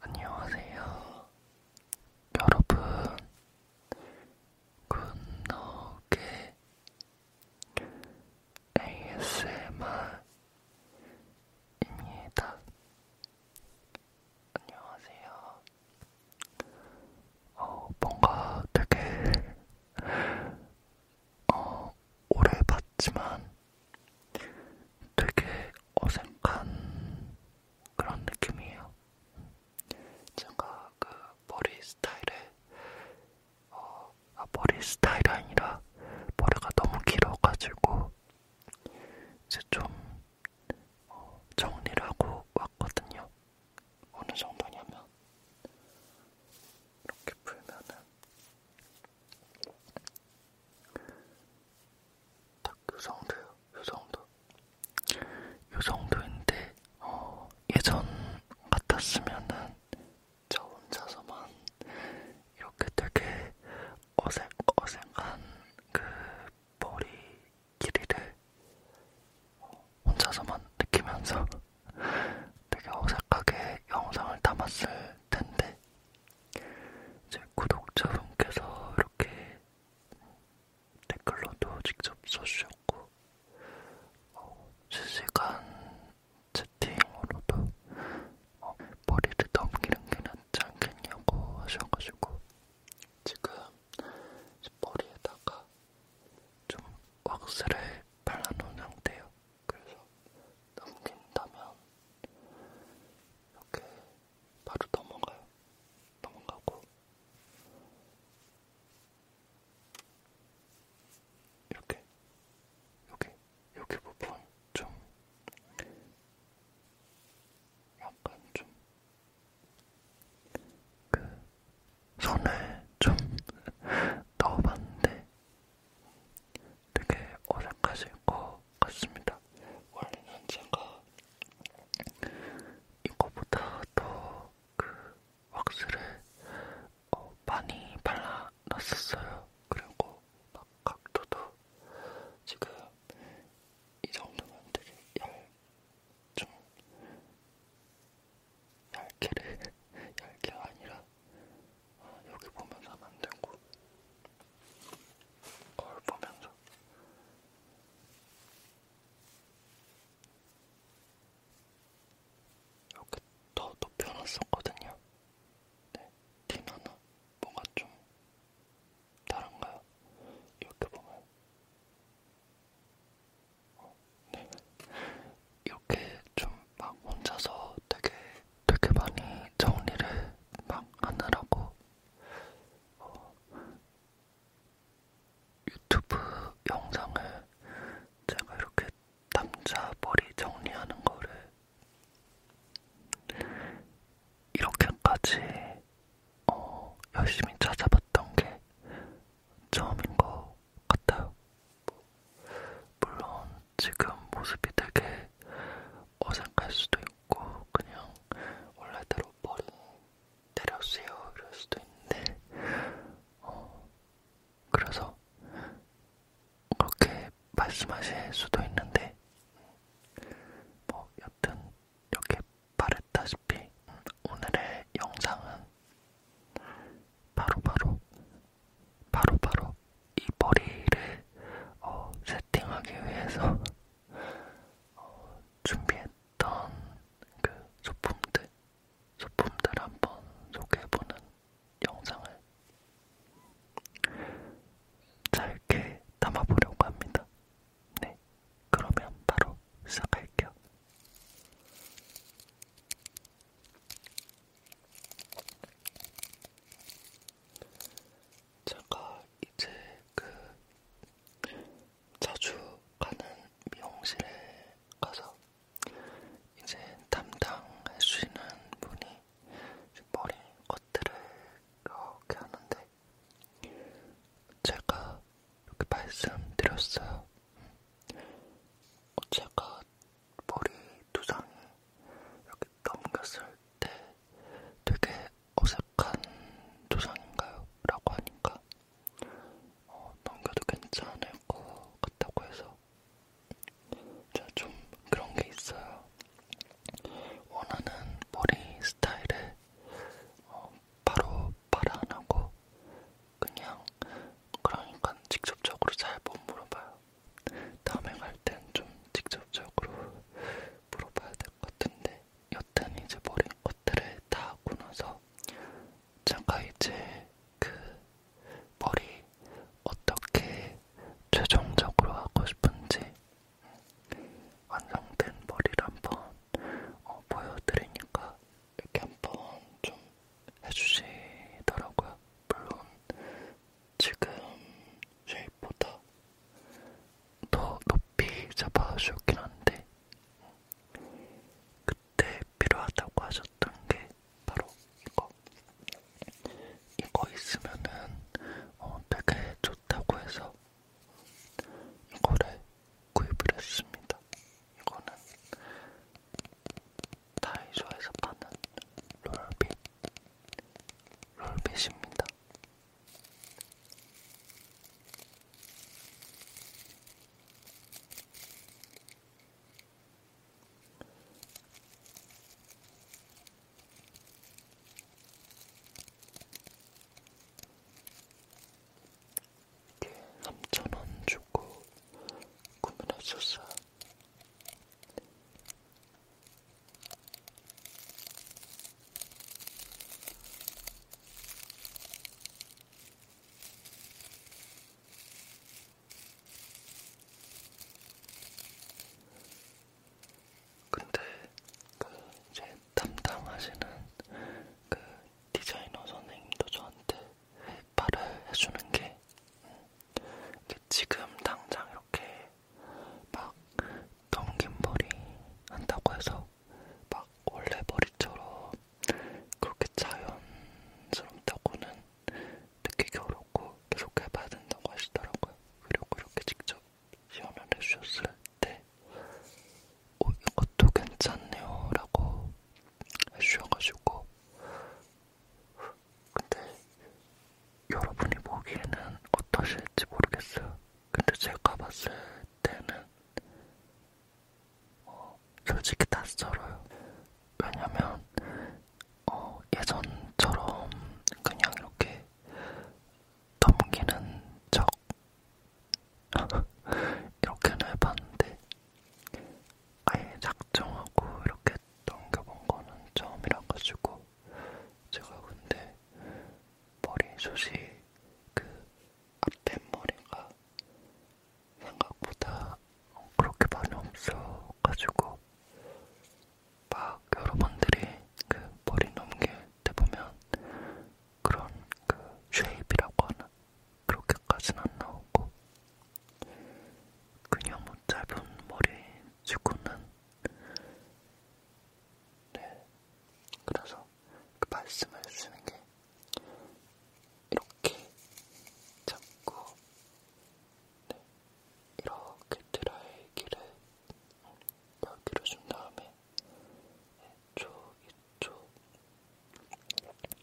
안녕하세요. 여러분, 굿노게 ASMR입니다. 안녕하세요. 어, 뭔가 되게, 어, 오래 봤지만 되게 어색한 그런 느낌이에요. 제가 그 머리 스타일에 어, 아, 머리 스타일이 아니라 머리가 너무 길어가지고 이제 좀 어, 정리를 하고 왔거든요. 어느 정도냐면 이렇게 풀면은 딱요 정도요. 요 정도. 요 정도인데 어, 예전 같았으면은 저 혼자서만 이렇게 되게 어색 어색한 그 머리 길이를 어, 혼자서만 느끼면서 되게 어색하게 영상을 담았을 텐데 제 구독자분께서 이렇게 댓글로도 직접 써주셨고 어, 실시간 채팅으로도 어, 머리를 넘기는 게 낫지 않겠냐고 하셔가지고 지금 머리에다가 좀 왁스를 발라놓은 상태예요. 그래서 넘긴다면 이렇게 바로 넘어가요. 넘어가고 이렇게 여기 여기 부분 좀 약간 좀그 손을 좀 넣어봤는데 되게 어색하실 거 같습니다. 원래는 제가 이거보다 더 그 왁스를 어, 많이 발라놨었어요. 그리고 막 각도도 지금 이 정도면 되게 얇, 좀 얇게를 얇게 아니라 어, 여기 보면 사면 안 되고 거울 보면서 이렇게 더 높여놨었거든요. 네, 티나나 뭔가 좀 다른가요? 이렇게 보면 어, 네. 이렇게 좀 막 혼자서 되게 되게 많이 정리를 막 하느라고 어, 유튜브 영상을 제가 이렇게 남자 머리 정리하는 거를 이렇게까지 어, 열심히 찾아봤던 게 처음인 것 같아요. 물론 지금 모습이 되게 어색할 수도 있고 않고 그냥 원래대로 머리 때렸어요 이럴 수도 있는데 어, 그래서 그렇게 말씀하실 수도 있는데 뭐 여튼 이렇게 말했다시피 오늘의 영상은 바로바로 바로바로 바로 이 머리를 어, 세팅하기 위해서 준비했던 그 소품들, 소품들 한번 소개해보는 영상을 짧게 담아보려고 합니다. 네, 그러면 바로 시작할게요. 제가 이제 그 자주 가는 미용실에 가서 이제 담당할 수 있는 분이 머리 커트를 이렇게 하는데 제가 이렇게 말씀드렸어요. 음, 제가 머리 두상이 이렇게 넘겼을 때 되게 어색한 조상인가요? 라고 하니까 어, 넘겨도 괜찮을 것 같다고 해서 제가 좀 그런 게 있어요. 원하는 머리 스타일을 어, 바로 말안 하고 그냥 그러니까 직접적으로 잘 못 물어봐요. 다음에 갈땐좀 직접적으로 물어봐야 될 것 같은데 여튼 이제 머리 옷들을 다 하고 나서 잠깐 이제 그 머리 어떻게 최종적으로 하고 싶은지 완성된 머리를 한번 어, 보여드리니까 이렇게 한번 좀 해주시더라고요. 물론 지금 제 전날보다 더 높이 잡아주었긴 한데 그때 필요하다고 하셨던 게 바로 이거 이거 있으면은 어, 되게 좋다고 해서 이거를 구입을 했습니다. 이거는 다이소에서 파는 롤빗 롤빗입니다. 이게 3,000원 주고 구매를 했었어요. 근데 그 제 담당하시는 그 디자이너 선생님도 저한테 말을 해주는 게 지금 당장 이렇게 막 넘긴 머리 한다고 해서 막 원래 머리처럼 그렇게 자연스럽다고는 느끼기 어렵고 계속 해봐야 된다고 하시더라고요. 그리고 이렇게 직접 시연을 해주셨을 때 어, 이것도 괜찮네요 라고 해주셔가지고 근데 여러분이 보기에는 어떠실지 모르겠어요. 근데 제가 봤을 때는 어, 솔직히 낯설어요. 왜냐면 어, 예전처럼 그냥 이렇게 넘기는 척 이렇게는 해봤는데 아예 작정하고 이렇게 넘겨본 거는 처음이라 가지고 제가 근데 머리숱이 그 앞뒷머리가 생각보다 그렇게 많이 없어가지고 막 여러분들이 그 머리 넘길 때 보면 그런 그 쉐입이라고 하나 그렇게까지는 안 나오고 그냥 뭐 짧은 머리 치고는 네 그래서 그 말씀을 쓰는 게 이렇게 잡고 네, 이렇게 드라이기를 여기로 준 다음에 이쪽 네, 이쪽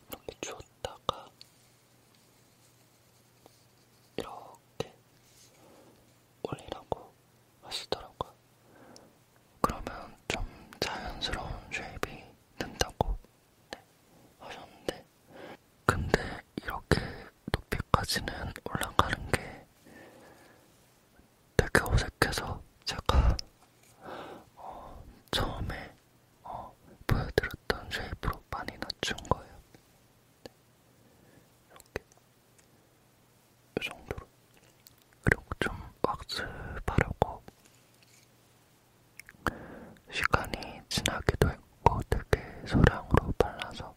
이렇게 줬다가 이렇게 올리라고 하시더라고요. 그러면 좀 자연스러운 쉐입이 된다고 네, 하셨는데 근데 이렇게 높이까지는 올라가는 게 되게 어색해서 제가 어, 처음에 어, 보여드렸던 쉐입으로 많이 낮춘 거예요. 네. 이렇게 이 정도로 그리고 좀 학습하려고 시간이 지나기도 했고 되게 소량으로 발라서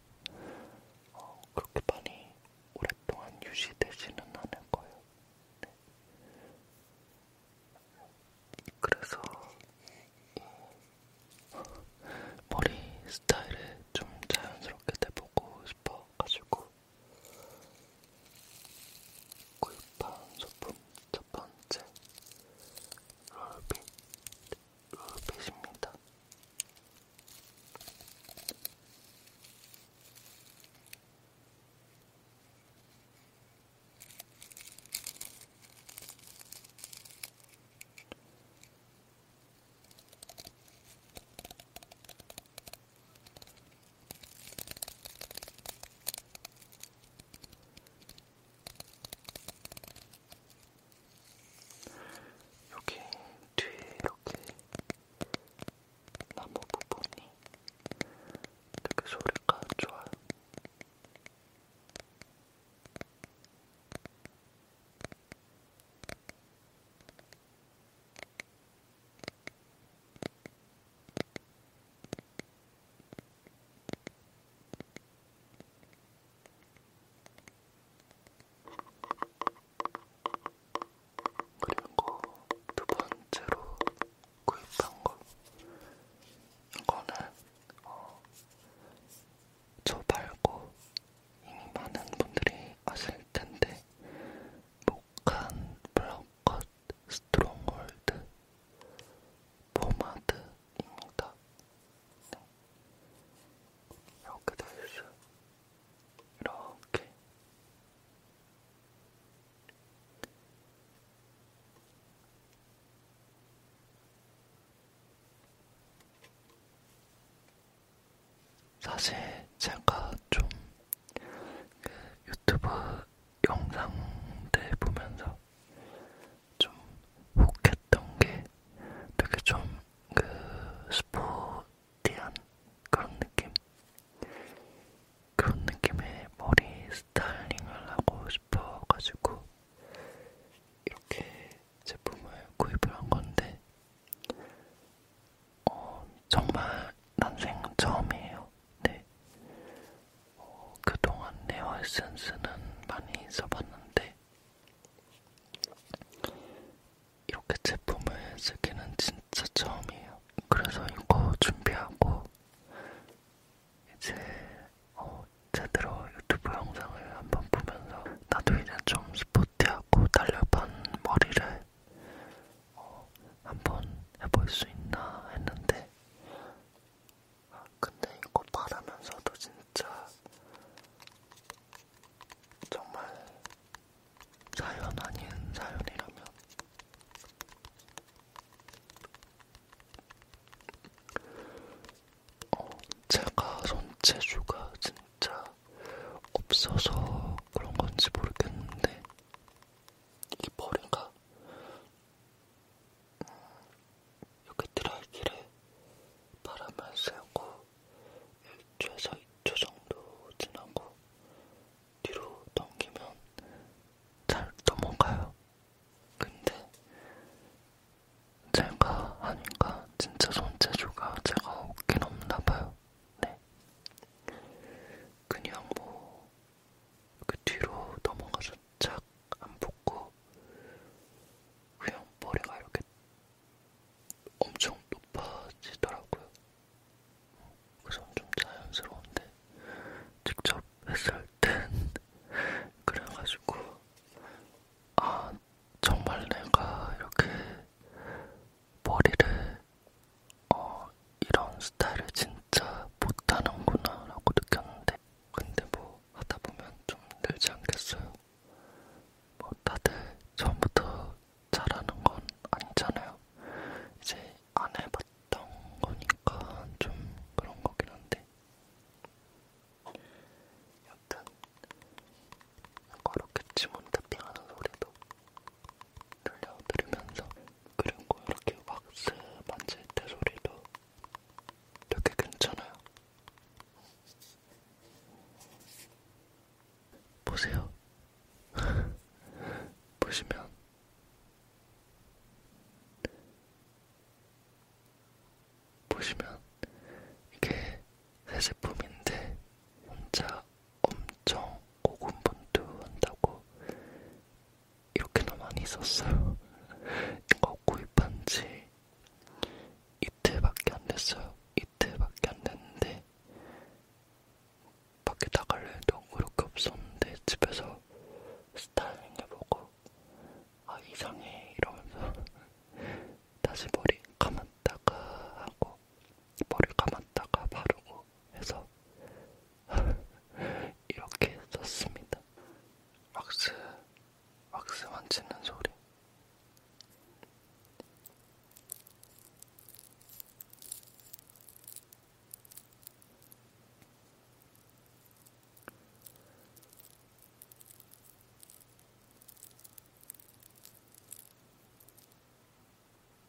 어, 그렇게 많이 오랫동안 유지되지는 않을 거예요. 네. 그래서 이 어, 머리 스타일을 좀 자연스럽게 내보고 싶어가지고 구입한 소품 첫 번째 롤빗 롤빗입니다. 여기 뒤에 이렇게 나무 부분이 되게 소리가 좋아요. 그리고 그 두 번째로 구입한 것 이거는 어, 저 말고 이미 많은 분들이 아실 텐데 뭐 촉촉한 브라운컷 스트롱홀드 포마드입니다. 네. 이렇게 돼있어 이렇게 사실 제가 좀그 유튜브 영상들 보면서 좀 혹했던 게 되게 좀 그 스포티한 그런 느낌? 그런 느낌의 머리 스타일링을 하고 싶어가지고 이렇게 제품을 구입을 한 건데 어, 정말 난생 처음이에요. 네. 어, 그동안 네어 에센스는 많이 써봤는데 이렇게 제품을 쓰기는 진짜 처음이에요. 그래서 이거 준비하고 이제 어, 제대로 유튜브 영상을 한번 보면서 나도 이제 좀 스포티하고 달려반 머리를 어, 한번 해볼 수 있나 했는데 근데 이거 바르면서도 진짜 정말 사연 아닌 사연이라면 어, 제가 손재주가 진짜 없어서 그런 건지 모르겠는데 이볼인가 음, 이렇게 드라이기를 바람을 쐬고 1초에서 2초 정도 지나고 뒤로 넘기면 잘 넘어가요. 근데 제가 하니까 진짜 손재주가 제가 없긴 없나봐요. 네. 그냥 뭐 그 뒤로 넘어가서 착안 붙고 그냥 머리가 이렇게 엄청 높아지더라고요. 그래서 좀 자연스러운데 직접 했을 땐 그래가지고 아 정말 내가 이렇게 머리를 어, 이런 스타일을 진짜 못하는구나 라고 느꼈는데 근데 뭐 하다보면 좀 늘지 않겠어요? 뭐 다들 처음부터 잘하는 건 아니잖아요 이제 안 해봤던 거니까 좀 그런 거긴 한데 여튼 그렇게 지문 탑핑하는 소리도 들려드리면서 그리고 이렇게 왁스 만질 때 소리도 되게 괜찮아요. 보세요. 보시면 보시면 이게 새 제품인데 혼자 엄청 고군분투한다고 이렇게나 많이 썼어요. 이거 구입한 지 이틀밖에 안 됐어요. 이틀밖에 안 됐는데 밖에 나갈 일도 그렇게 없었는데 집에서 스타일링 해보고 아 이상해 이러면서 다시 머리 감았다가 하고 머리 감았다가 바르고 해서 이렇게 썼습니다. 왁스, 왁스 만지는 소리.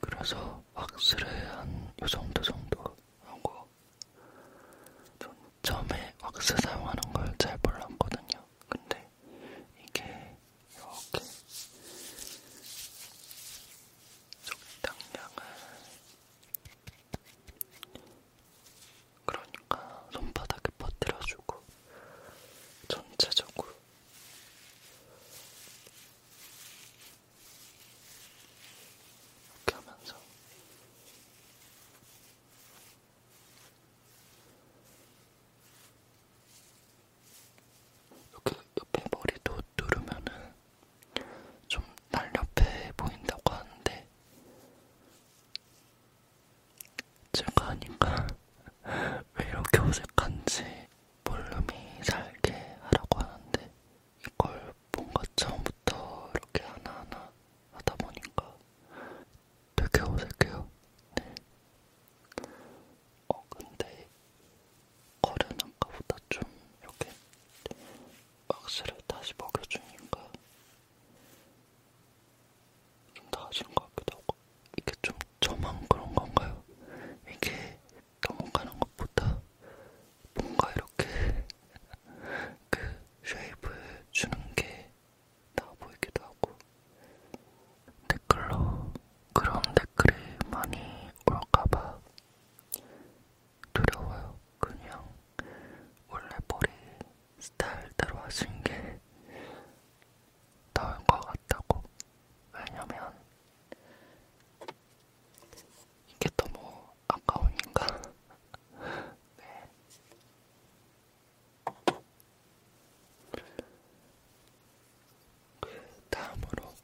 그래서 왁스를 한요 정도 정도 하고 전 처음에 왁스 사용하는 걸 잘 몰랐거든요. 근데 이게 이렇게 적당량을 그러니까 손바닥에 퍼뜨려주고 전체적으로 이렇게 하면서 이렇게 옆에 머리도 누르면은 좀 날렵해 보인다고 하는데 제가 하니까 왜 이렇게 어색한지 볼륨이 살게 하라고 하는데 이걸 뭔가 처음부터 이렇게 하나하나 하다 보니까 되게 어색해요. 네. 어 근데 거른 아까보다 좀 이렇게 박스를 다시 먹여주니까 좀다 아시는 것 같기도 하고 이게 좀 저만 그런 건가요? 이게 넘어가는 것보다 뭔가 이렇게 그 쉐입을 주는 게 나아 보이기도 하고 댓글로 그런 댓글이 많이 올까봐 두려워요. 그냥 원래 머리 스타일대로 하신 게 나을 것 같다고. 왜냐면 이게 너무 아까우니까. 네. 그 다음으로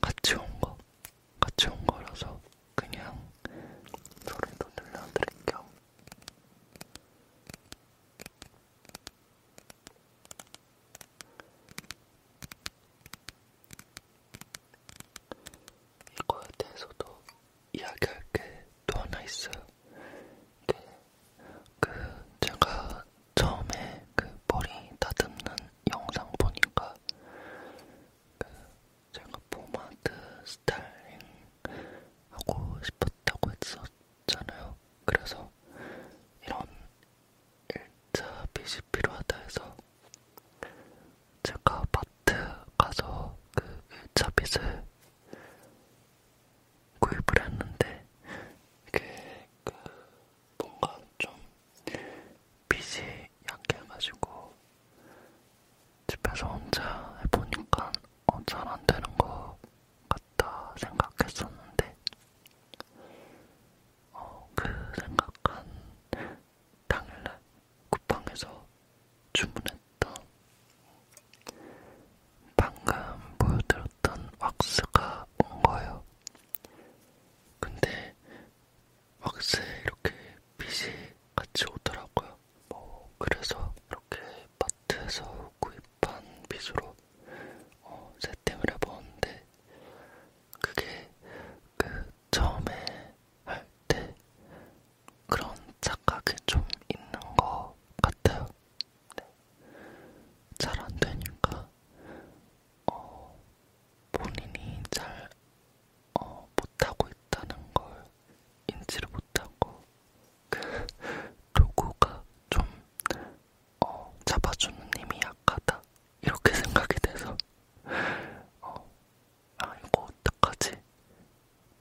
같이 온 거, 같이 온 거라서 그냥 소리도 들려드릴게요. 이거에 대해서도 이야기할 게 또 하나 있어요. 네. 그 제가 처음에 그 머리 다듬는 영상 보니까 그 제가 포마드 스타일링 하고 싶었다고 했었. 많잖아요. 그래서 이런 1차 빚이 필요하다 해서 제가 마트 가서 그 1차 빚을 구입을 했는데 이게 그 뭔가 좀 빚이 약해가지고 집에서 혼자 해보니까 어, 잘안 되는 것 같다 생각했었는데 어, 그 생각한 당일날 쿠팡에서 주문했던 방금 보여드렸던 왁스가 온 거예요. 근데 왁스에 이렇게 빛이 같이 오더라고요. 뭐 그래서 이렇게 마트에서 구입 판 빗으로 어, 세팅을 해보는데 그게 그 처음에 할 때 그런 착각이 좀 있는 것 같아요. 네. 잘안 되니까 어, 본인이 잘 어, 못하고 있다는 걸 인지를 못하고 그 도구가 좀 어, 잡아주는 힘이 약하다 이렇게 생각이 돼서 어, 아 이거 어떡하지?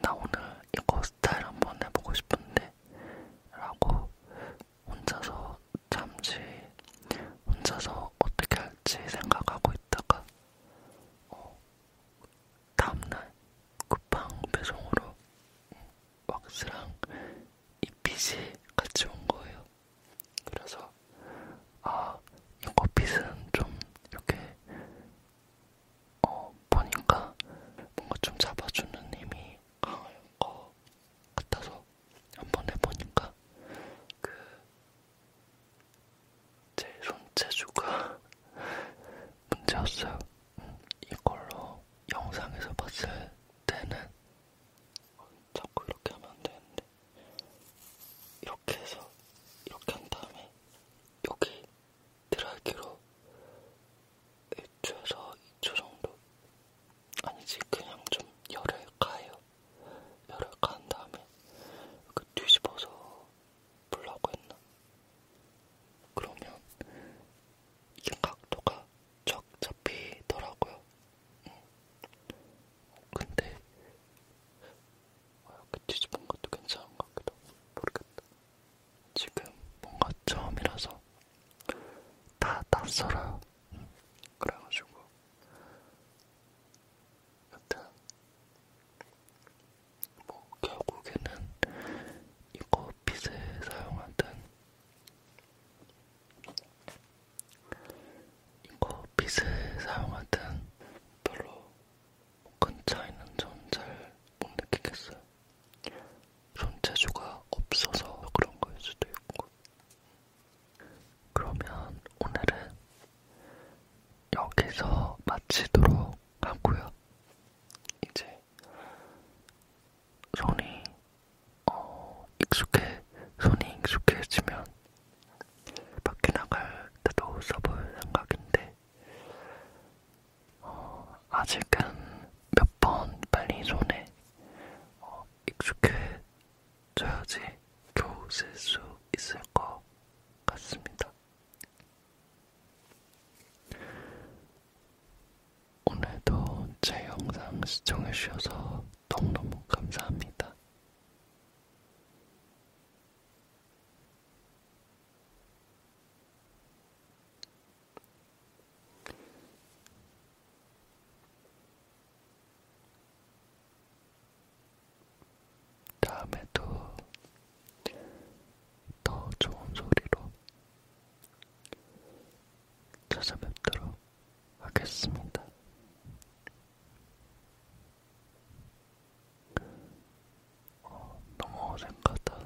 나 오늘 이거 스타일 한번 해보고 싶은데 라고 혼자서 잠시 혼자서 어떻게 할지 생각하고 있다가 어, 다음날 쿠팡 배송으로 왁스랑 이 핏이 같이 온 거예요. 그래서 아, 이 핏은 좀 이렇게 어, 보니까 뭔가 좀 잡아주는 힘이 강할 것 같아서 한번 해보니까 그 제 손재주가 문제였어요. 음, 이걸로 영상에서 봤을 때는 어, 자꾸 이렇게 하면 안 되는데 이렇게 해서 이렇게 한 다음에 여기 드라이기로 1초에서 2초 정도 아니지 그냥 좀 열을 가요 열을 간 다음에 그 뒤집어서 불라고 했나? 그러면 이게 각도가 쫙 잡히더라고요. 응. 음. 근데 아, 이렇게 뒤집은 것도 괜찮은 것 같기도 하고 모르겠다. 지금 뭔가 처음이라서 다 낯설어요. 응. 그래가지고 여튼 뭐 결국에는 이거 빗을 사용하든 이거 빛을 사용할 땐 별로 큰 차이는 전잘못 느끼겠어요. 손재주가 없어서 그런 거일 수도 있고. 그러면 오늘은 여기서 마치도록 하고요. 이제 손이 어, 익숙해 손이 익숙해지면 밖에 나갈 때도 써볼 생각인데 어, 아직은 몇 번 빨리 손에 어, 익숙해져야지 겨우 쓸수 있을 것 같습니다. 오늘도 제 영상 시청해주셔서 너무너무 감사합니다. 다음에도 더 좋은 소리로 찾아뵙도록 하겠습니다. 어, 너무 어색하다.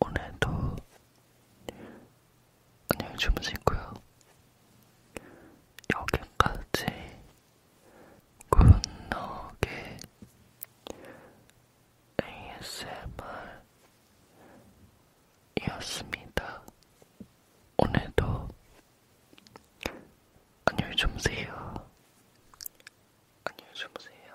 오늘도 안녕히 주무시고요. 여기까지 굿노게 ASMR이었습니다. 오늘도 안녕히 주무세요. 안녕히 주무세요.